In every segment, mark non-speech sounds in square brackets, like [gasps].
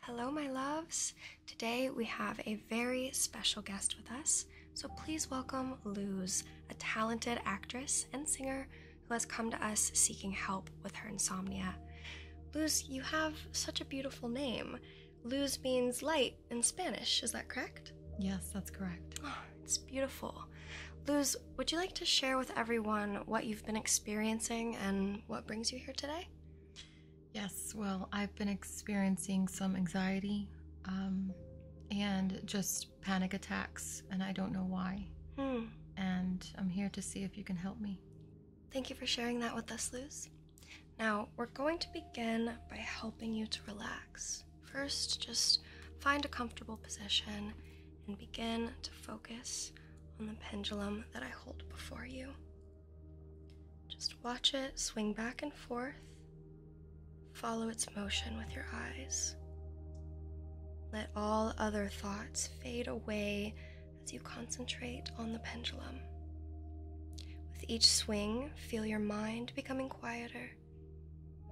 Hello, my loves. Today we have a very special guest with us, so please welcome Luz, a talented actress and singer who has come to us seeking help with her insomnia. Luz, you have such a beautiful name. Luz means light in Spanish, is that correct? Yes, that's correct. [gasps] it's beautiful. Luz, would you like to share with everyone what you've been experiencing and what brings you here today? Yes, well, I've been experiencing some anxiety um, and just panic attacks, and I don't know why. Hmm. And I'm here to see if you can help me. Thank you for sharing that with us, Luz. Now, we're going to begin by helping you to relax. First, just find a comfortable position and begin to focus on the pendulum that I hold before you. Just watch it swing back and forth. Follow its motion with your eyes. Let all other thoughts fade away as you concentrate on the pendulum. With each swing, feel your mind becoming quieter,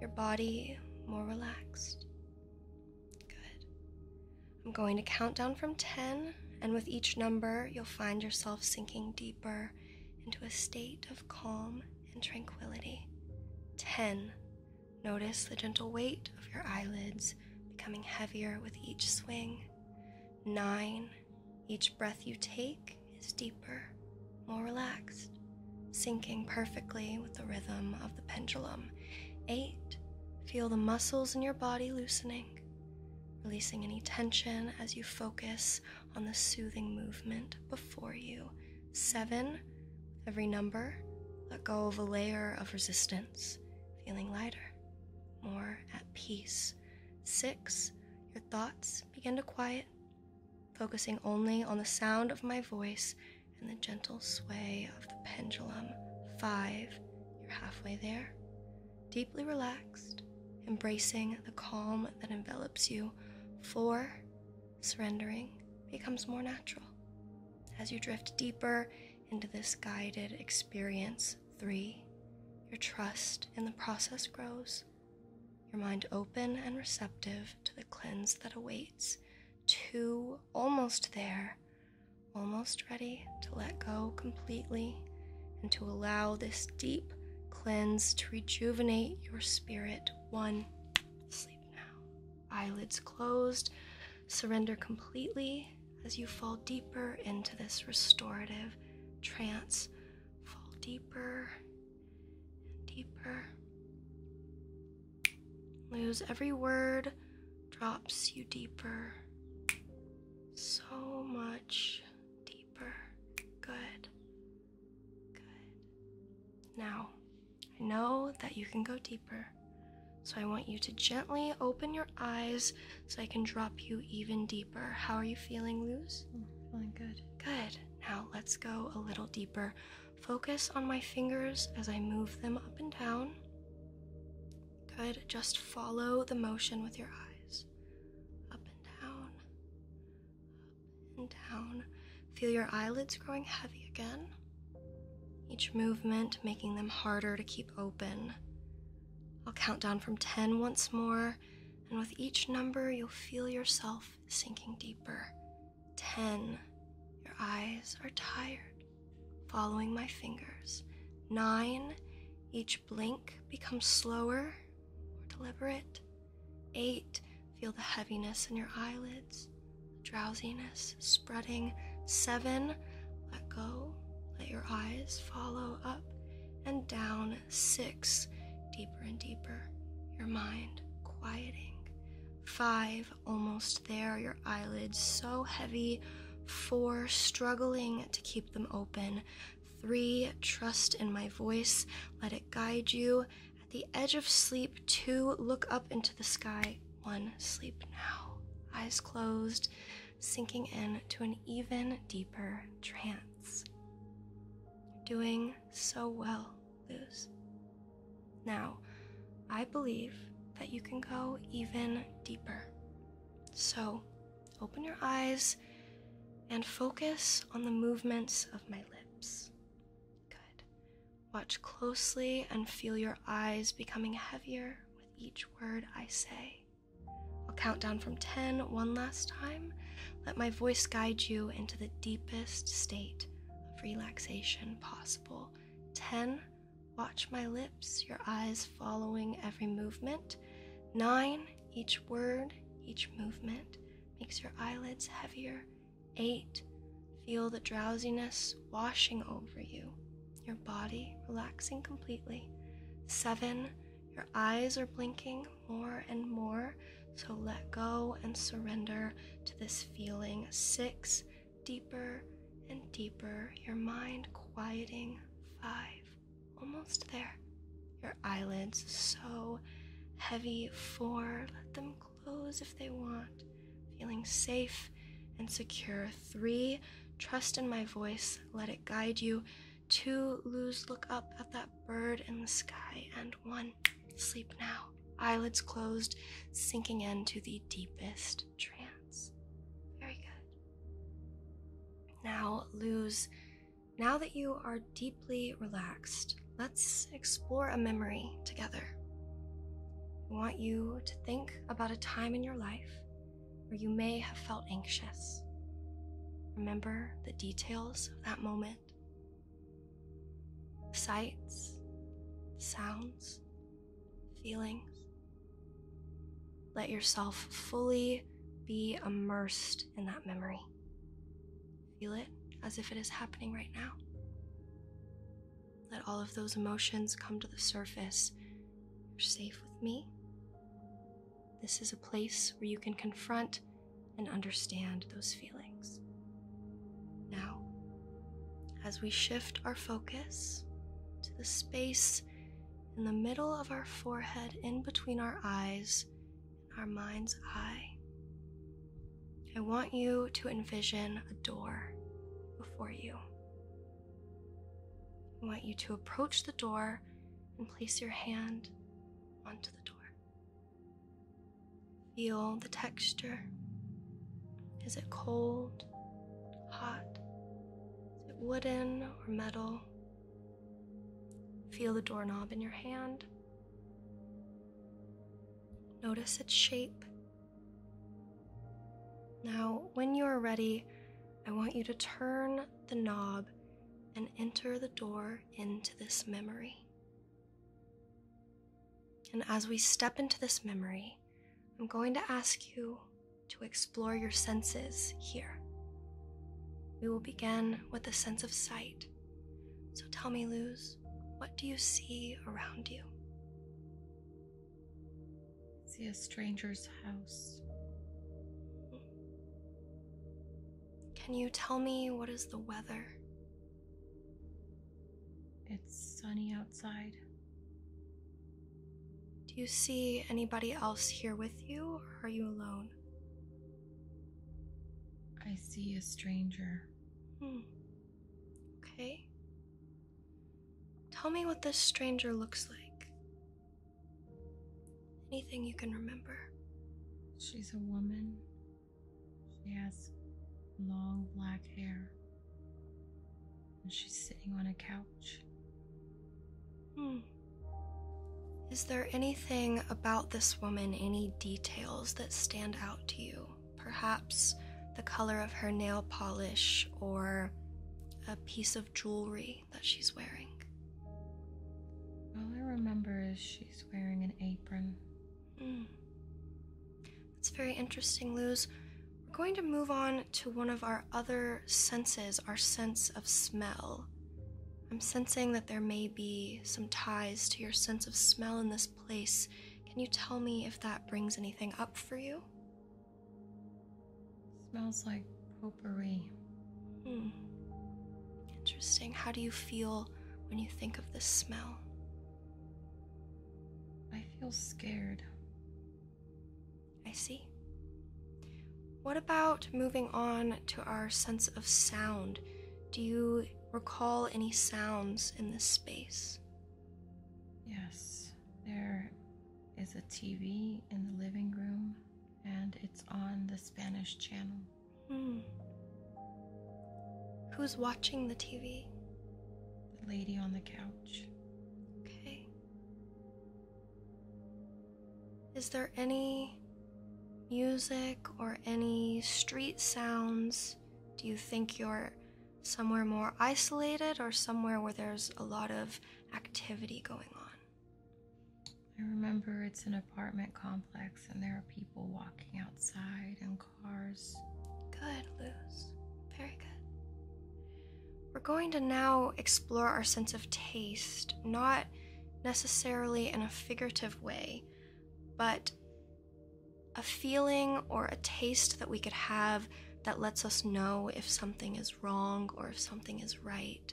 your body more relaxed. Good. I'm going to count down from 10, and with each number, you'll find yourself sinking deeper into a state of calm and tranquility. 10. Notice the gentle weight of your eyelids becoming heavier with each swing. 9. Each breath you take is deeper, more relaxed, sinking perfectly with the rhythm of the pendulum. 8. Feel the muscles in your body loosening releasing any tension as you focus on the soothing movement before you. Seven, every number, let go of a layer of resistance, feeling lighter, more at peace. Six, your thoughts begin to quiet, focusing only on the sound of my voice and the gentle sway of the pendulum. Five, you're halfway there deeply relaxed, embracing the calm that envelops you. Four, surrendering becomes more natural. As you drift deeper into this guided experience, three, your trust in the process grows, your mind open and receptive to the cleanse that awaits. Two, almost there, almost ready to let go completely and to allow this deep cleanse to rejuvenate your spirit. One, sleep now. Eyelids closed, surrender completely as you fall deeper into this restorative trance. Fall deeper deeper. Lose every word, drops you deeper so much deeper. Good. Good. Now, I know that you can go deeper. So I want you to gently open your eyes so I can drop you even deeper. How are you feeling, Luz? Mm, feeling good. Good. Now let's go a little deeper. Focus on my fingers as I move them up and down. Good. Just follow the motion with your eyes. Up and down. Up and down. Feel your eyelids growing heavy again. Each movement making them harder to keep open. I'll count down from 10 once more, and with each number, you'll feel yourself sinking deeper. 10. Your eyes are tired following my fingers. Nine, each blink becomes slower, more deliberate. Eight, feel the heaviness in your eyelids, the drowsiness spreading. Seven, let go, let your eyes follow up and down. Six, deeper and deeper, your mind quieting. Five, almost there, your eyelids so heavy. Four, struggling to keep them open. Three, trust in my voice, let it guide you. At the edge of sleep, two, look up into the sky. One, sleep now. Eyes closed, sinking in to an even deeper trance. You're doing so well, Luz. Now, I believe that you can go even deeper. So, Open your eyes and focus on the movements of my lips. Good. Watch closely and feel your eyes becoming heavier with each word I say. I'll count down from ten one last time. Let my voice guide you into the deepest state of relaxation possible. 10 Watch my lips, your eyes following every movement. Nine, each word, each movement makes your eyelids heavier. Eight, feel the drowsiness washing over you, your body relaxing completely. Seven, your eyes are blinking more and more, so let go and surrender to this feeling. Six, deeper and deeper, your mind quieting. Five, Almost there. Your eyelids so heavy Four, Let them close if they want. Feeling safe and secure. Three, trust in my voice. Let it guide you. Two, lose look up at that bird in the sky. And one, sleep now. Eyelids closed, sinking into the deepest trance. Very good. Now, Luz, now that you are deeply relaxed, let's explore a memory together. I want you to think about a time in your life where you may have felt anxious. Remember the details of that moment sights, sounds, feelings. Let yourself fully be immersed in that memory. Feel it as if it is happening right now. Let all of those emotions come to the surface. You're safe with me. This is a place where you can confront and understand those feelings. Now, as we shift our focus to the space in the middle of our forehead, in between our eyes, in our mind's eye. I want you to envision a door before you. I want you to approach the door and place your hand onto the door. Feel the texture. Is it cold, hot? Is it wooden or metal feel. the doorknob in your hand. Notice its shape. Now, when you are ready, I want you to turn the knob and enter the door into this memory. And as we step into this memory, I'm going to ask you to explore your senses here. We will begin with the sense of sight. So tell me, Luz, what do you see around you? see a stranger's house. Can you tell me what is the weather? It's sunny outside. Do you see anybody else here with you, or are you alone? I see a stranger. Hmm. Okay. Tell me what this stranger looks like. Anything you can remember. She's a woman. She has long black hair. And she's sitting on a couch. Hmm. Is there anything about this woman, any details that stand out to you? Perhaps the color of her nail polish or a piece of jewelry that she's wearing? All I remember is she's wearing an apron. Hmm. That's very interesting, Luz. We're going to move on to one of our other senses, our sense of smell. I'm sensing that there may be some ties to your sense of smell in this place. Can you tell me if that brings anything up for you? Smells like potpourri. Hmm. Interesting. How do you feel when you think of this smell? I feel scared. I see. What about moving on to our sense of sound? Do you recall any sounds in this space? Yes, there is a TV in the living room and it's on the Spanish channel. Hmm. Who's watching the TV? The lady on the couch. Okay. Is there any music or any street sounds? Do you think you're somewhere more isolated or somewhere where there's a lot of activity going on? I remember it's an apartment complex and there are people walking outside and cars. Good, Luz. Very good we're going to now explore our sense of taste, not necessarily in a figurative way, but a feeling or a taste that we could have that lets us know if something is wrong or if something is right.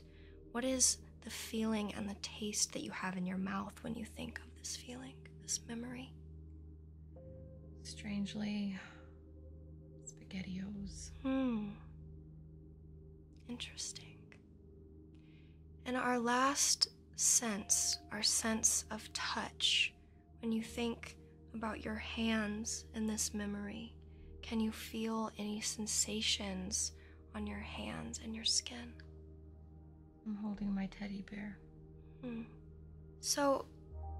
What is the feeling and the taste that you have in your mouth when you think of this feeling, this memory? Strangely, spaghettios. Hmm. Interesting. And our last sense, our sense of touch, when you think about your hands in this memory, can you feel any sensations on your hands and your skin? I'm holding my teddy bear. Hmm. So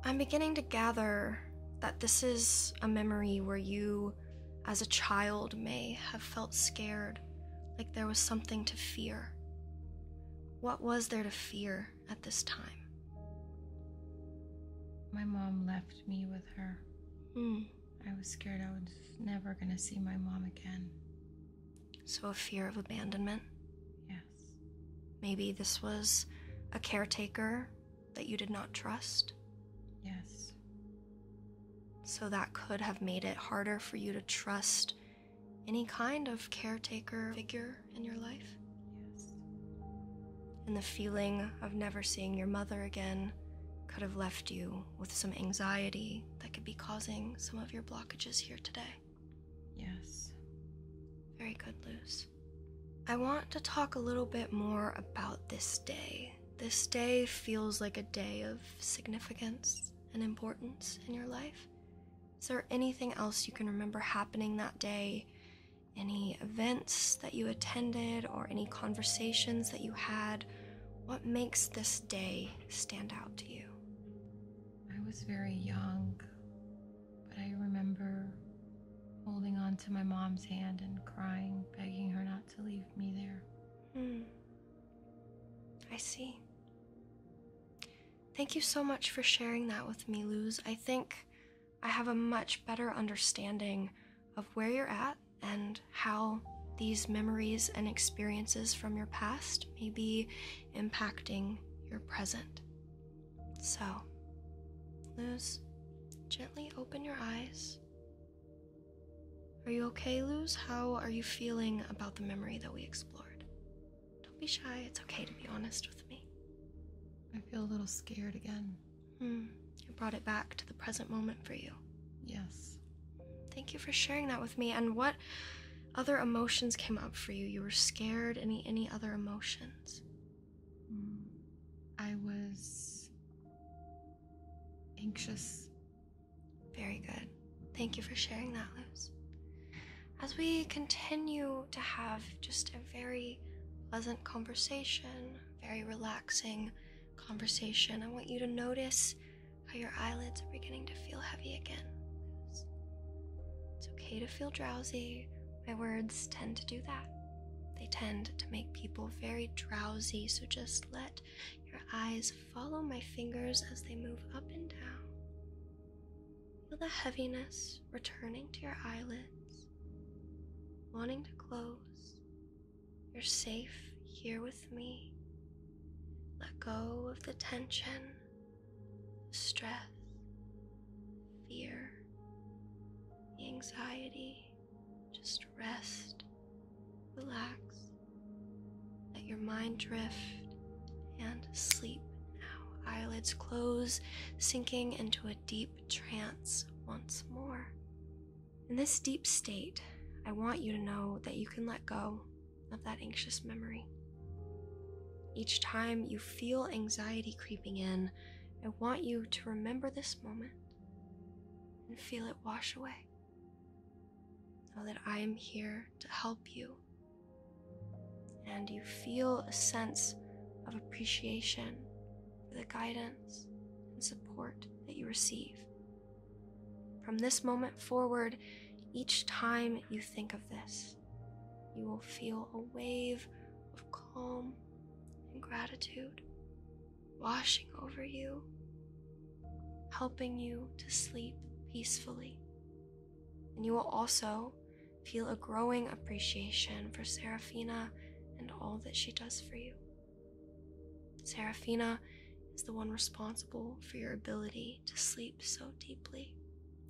I'm beginning to gather that this is a memory where you as a child, may have felt scared, like there was something to fear. What was there to fear at this time? My mom left me with her. Hmm. I was scared I was never going to see my mom again. So, a fear of abandonment? Yes. Maybe this was a caretaker that you did not trust. Yes. So that could have made it harder for you to trust any kind of caretaker figure in your life. Yes. And the feeling of never seeing your mother again could have left you with some anxiety that could be causing some of your blockages here today. Yes. Very good, Luz. I want to talk a little bit more about this day this day feels like a day of significance and importance in your life. Is there anything else you can remember happening that day? Any events that you attended or any conversations that you had? What makes this day stand out to you? I was very young, but I remember holding on to my mom's hand and crying, begging her not to leave me there. Hmm. I see. Thank you so much for sharing that with me, Luz. I think I have a much better understanding of where you're at and how these memories and experiences from your past may be impacting your present. So, Luz, gently open your eyes are you okay, Luz? How are you feeling about the memory that we explored? Don't be shy, it's okay to be honest with me. I feel a little scared again. Hmm. It brought it back to the present moment for you. Yes. Thank you for sharing that with me. And what other emotions came up for you? You were scared, any any other emotions? Hmm. I was anxious. Very good. Thank you for sharing that, Luz. As we continue to have just a very pleasant conversation, very relaxing conversation, I want you to notice how your eyelids are beginning to feel heavy again. It's okay to feel drowsy. My words tend to do that. They tend to make people very drowsy, so just let your eyes follow my fingers as they move up and down. Feel the heaviness returning to your eyelids, wanting to close. You're safe here with me. Let go of the tension, stress, fear, anxiety. Just rest, relax, let your mind drift and sleep now. Eyelids close, sinking into a deep trance once more. In this deep state, I want you to know that you can let go of that anxious memory. Each time you feel anxiety creeping in, I want you to remember this moment and feel it wash away. Know that I am here to help you. And you feel a sense of appreciation for the guidance and support that you receive. From this moment forward, each time you think of this, you will feel a wave of calm and gratitude washing over you, helping you to sleep peacefully. And you will also feel a growing appreciation for Seraphina and all that she does for you. Seraphina is the one responsible for your ability to sleep so deeply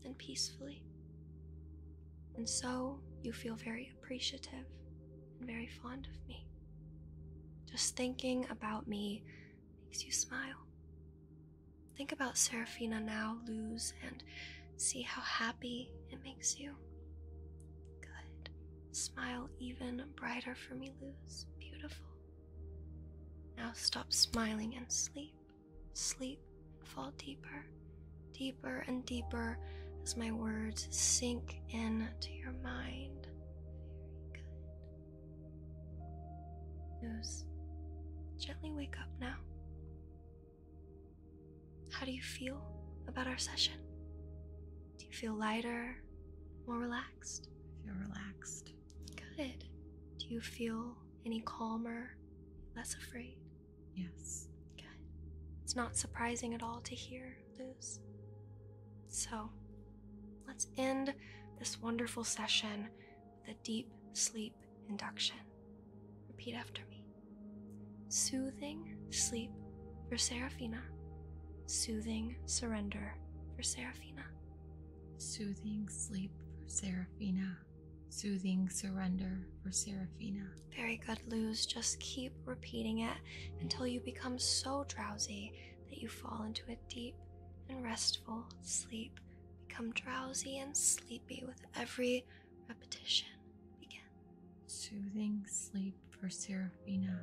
and peacefully. And so you feel very appreciative and very fond of me. Just thinking about me makes you smile. Think about Seraphina now, Luz, and see how happy it makes you. Good. Smile even brighter for me, Luz. Beautiful. Now stop smiling and sleep. Sleep fall deeper, deeper and deeper as my words sink into your mind. Very good. Nose, gently wake up now. How do you feel about our session? Do you feel lighter, more relaxed? I feel relaxed. Good. Do you feel any calmer, less afraid? Yes. Good. It's not surprising at all to hear so let's end this wonderful session with a deep sleep induction. Repeat after me soothing sleep for Seraphina, soothing surrender for Seraphina, soothing sleep for Seraphina, soothing surrender for Seraphina. Very good, Luz. Just keep repeating it until you become so drowsy that you fall into a deep and restful sleep. Become drowsy and sleepy with every repetition. Begin. Soothing sleep for Seraphina.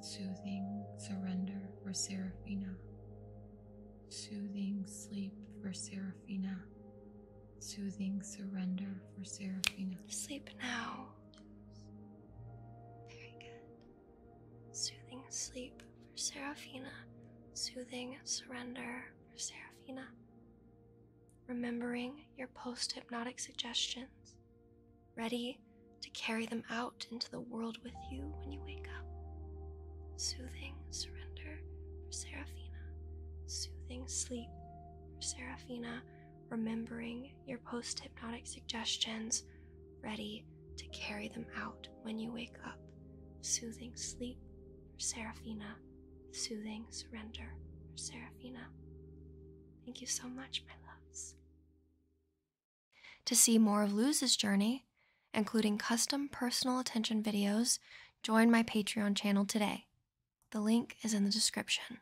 Soothing surrender for Seraphina. Soothing sleep for Seraphina. Soothing surrender for Seraphina. Sleep now. Very good. Soothing sleep for Seraphina. Soothing surrender for Seraphina. Remembering your post hypnotic suggestions. Ready to carry them out into the world with you when you wake up. Soothing surrender for Seraphina. Soothing sleep for Seraphina. Remembering your post hypnotic suggestions, ready to carry them out when you wake up. Soothing sleep Seraphina, soothing surrender Seraphina. Thank you so much, my loves. To see more of Luz's journey, including custom personal attention videos, join my Patreon channel today. The link is in the description.